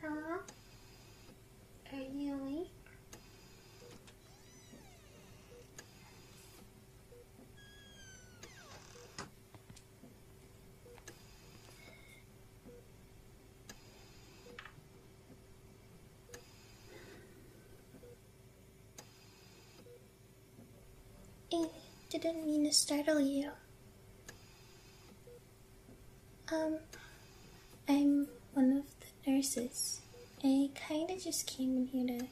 Huh? Are you awake? I didn't mean to startle you. Um, I'm one of the nurses. I kinda just came in here to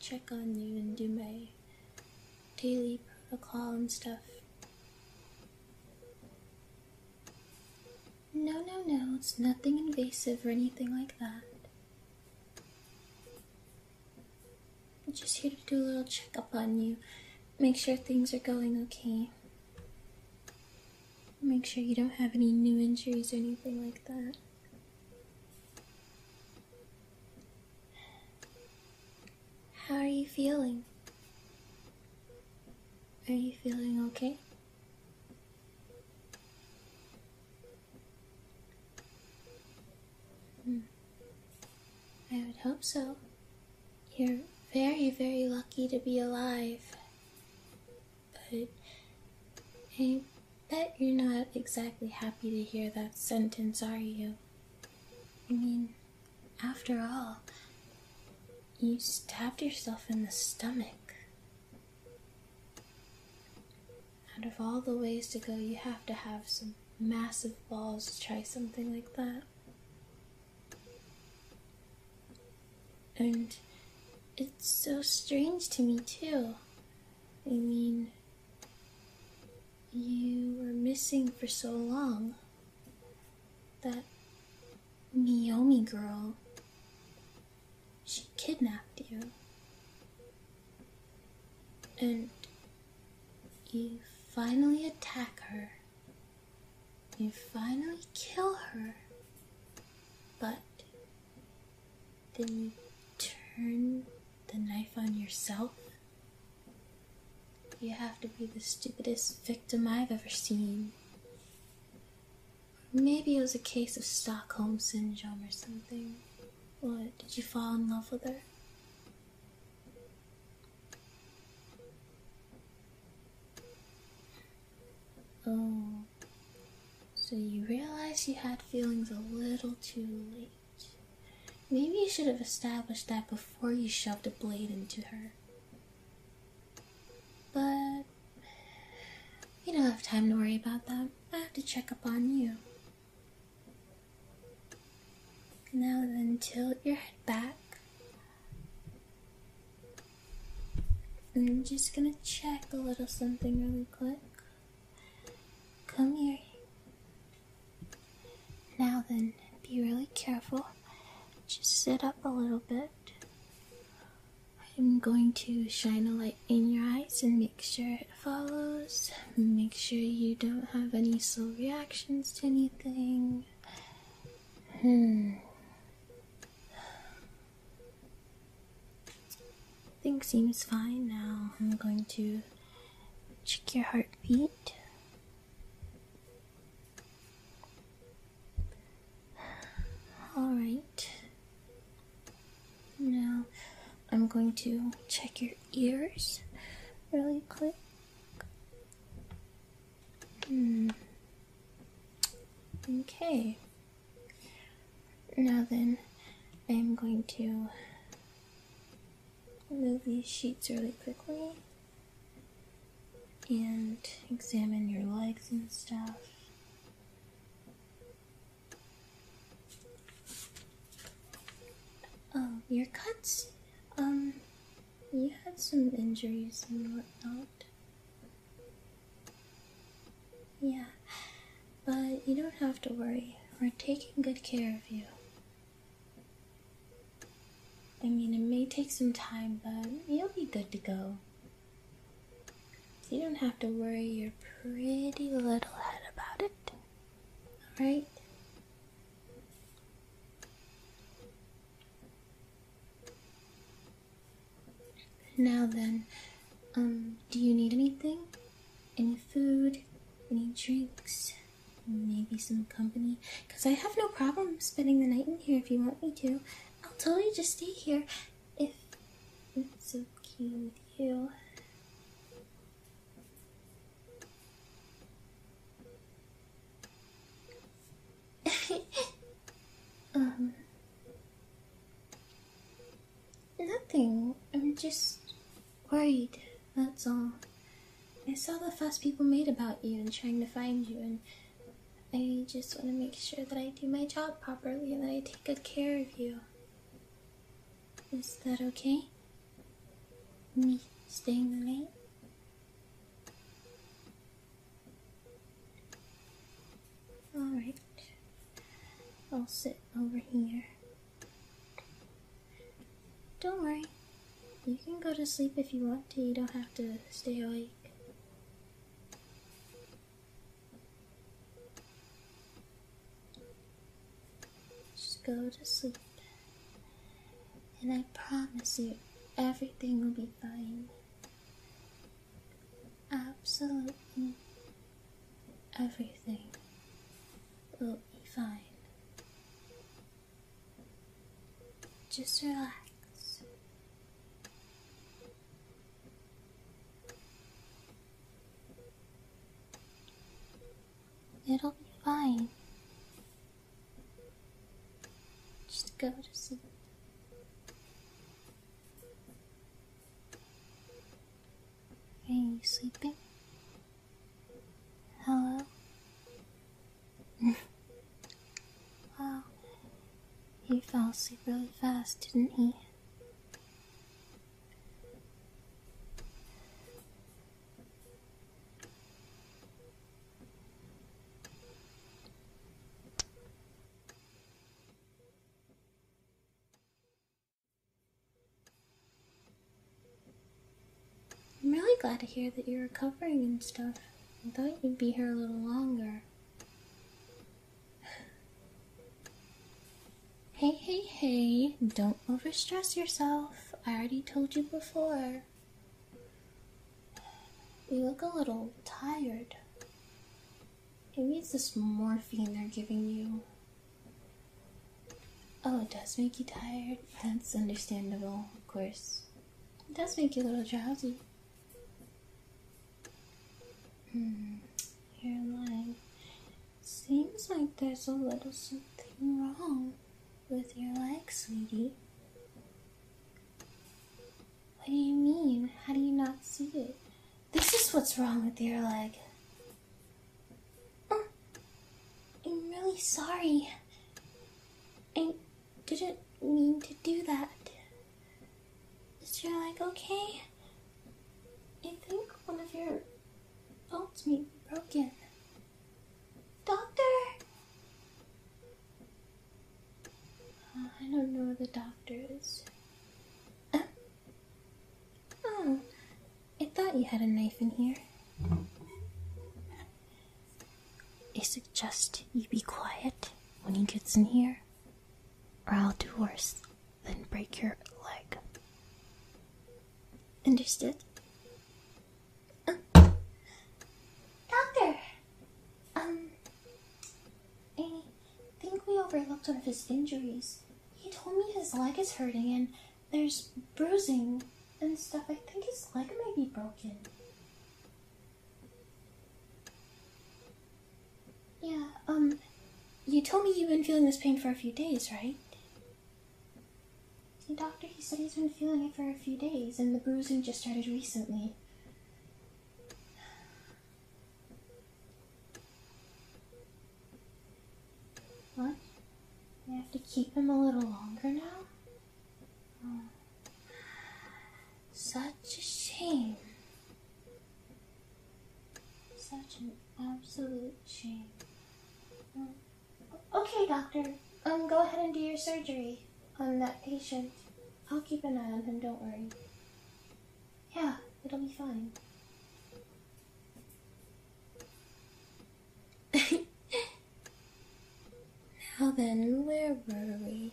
check on you and do my daily protocol and stuff. No, no, no, it's nothing invasive or anything like that. I'm just here to do a little checkup on you, make sure things are going okay. Make sure you don't have any new injuries or anything like that. How are you feeling? Are you feeling okay? Hmm. I would hope so. You're very, very lucky to be alive. But I bet you're not exactly happy to hear that sentence, are you? I mean, after all, you stabbed yourself in the stomach. Out of all the ways to go, you have to have some massive balls to try something like that. And it's so strange to me, too. I mean, you were missing for so long. That Miyomi girl, she kidnapped you. And you finally attack her. You finally kill her. But then you turn the knife on yourself you have to be the stupidest victim I've ever seen. Maybe it was a case of Stockholm Syndrome or something. What, did you fall in love with her? Oh, so you realized you had feelings a little too late. Maybe you should have established that before you shoved a blade into her. But you don't have time to worry about that. I have to check up on you. Now then, tilt your head back. And I'm just gonna check a little something really quick. Come here. Now then, be really careful. Just sit up a little bit. I'm going to shine a light in your eyes and make sure it follows. Make sure you don't have any slow reactions to anything. Hmm. Thing seems fine now. I'm going to Check your heartbeat. Alright. Now I'm going to check your ears really quick. Hmm. Okay. Now then, I'm going to Move these sheets really quickly and examine your legs and stuff. Oh, your cuts. Um, you had some injuries and whatnot. Yeah, but you don't have to worry. We're taking good care of you. I mean, it may take some time, but you'll be good to go. You don't have to worry your pretty little head about it. Alright? Now then, um, do you need anything? any food, any drinks, maybe some company. Because I have no problem spending the night in here if you want me to. I'll totally just stay here if it's okay with you. um, Nothing. I'm just worried. That's all. I saw the fuss people made about you and trying to find you, and I just want to make sure that I do my job properly and that I take good care of you. Is that okay? Me staying late. Alright. I'll sit over here. Don't worry. You can go to sleep if you want to. You don't have to stay awake. Just go to sleep. And I promise you, everything will be fine. Absolutely everything will be fine. Just relax. It'll be fine. Just go to sleep. Are you sleeping? Hello? wow, he fell asleep really fast, didn't he? I'm really glad to hear that you're recovering and stuff. I thought you'd be here a little longer. Hey, hey, hey, don't overstress yourself. I already told you before. You look a little tired. It means this morphine they're giving you. Oh, it does make you tired. That's understandable, of course. It does make you a little drowsy. Hmm, you're Seems like there's a little something wrong with your leg, sweetie. What do you mean? How do you not see it? This is what's wrong with your leg. I'm really sorry. I didn't mean to do that. Is your leg okay? I think one of your bones may be broken. Doctor! Uh, I don't know where the doctor is. oh, I thought you had a knife in here. I suggest you be quiet when he gets in here, or I'll do worse than break your leg. Understood? Uh, doctor! Um, I think we overlooked one of his injuries. He told me his leg is hurting and there's bruising and stuff. I think his leg might be broken. Yeah, um, you told me you've been feeling this pain for a few days, right? The doctor, he said he's been feeling it for a few days, and the bruising just started recently. What? I have to keep him a little longer now? Oh. Such a shame. Such an absolute shame. Okay, doctor. Um, go ahead and do your surgery on that patient. I'll keep an eye on him, don't worry. Yeah, it'll be fine. now then, where were we?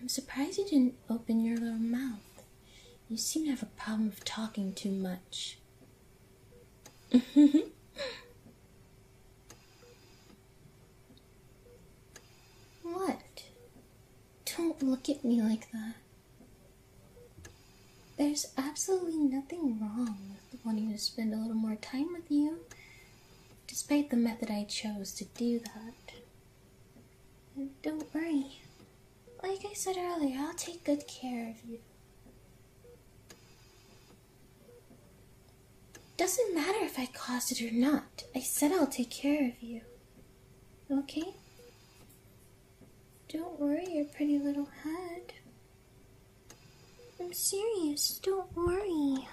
I'm surprised you didn't open your little mouth. You seem to have a problem of talking too much what? Don't look at me like that. There's absolutely nothing wrong with wanting to spend a little more time with you, despite the method I chose to do that. Don't worry. Like I said earlier, I'll take good care of you. Doesn't matter if I caused it or not. I said I'll take care of you. Okay? Don't worry your pretty little head. I'm serious, don't worry.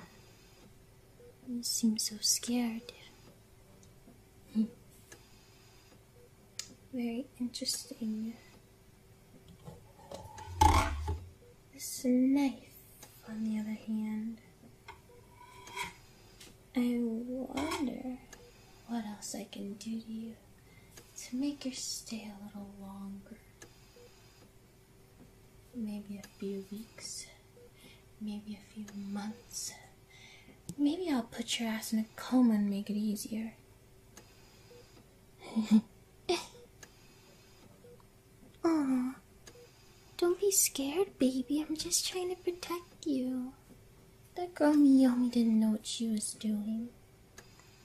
You seem so scared. Hmm. Very interesting. This knife, on the other hand, I wonder what else I can do to you to make you stay a little longer. Maybe a few weeks, maybe a few months. Maybe I'll put your ass in a coma and make it easier. Aw, don't be scared, baby. I'm just trying to protect you. That girl Miyomi didn't know what she was doing.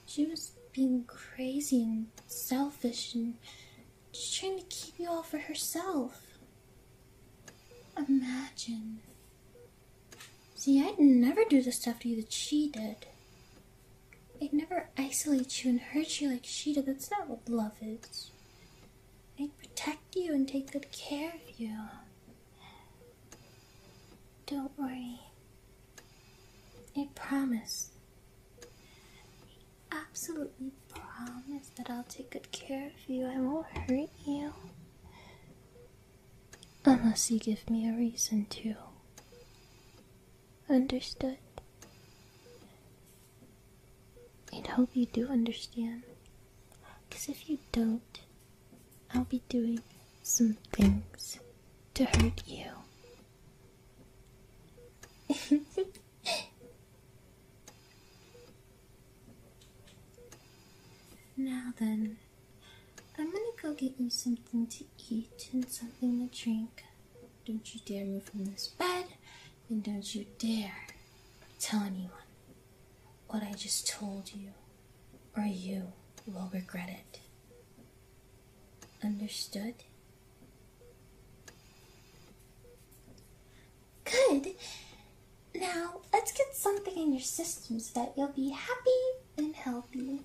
She was being crazy and selfish and just trying to keep you all for herself. Imagine See, I'd never do the stuff to you that she did. I'd never isolate you and hurt you like she did. That's not what love is. I'd protect you and take good care of you. Don't worry. I promise. I absolutely promise that I'll take good care of you. I won't hurt you. Unless you give me a reason to. Understood? And hope you do understand. Because if you don't, I'll be doing some things to hurt you. now then, I'm gonna go get you something to eat and something to drink. Don't you dare move from this bed, and don't you dare tell anyone what I just told you, or you will regret it. Understood? Good. Now, let's get something in your system so that you'll be happy and healthy.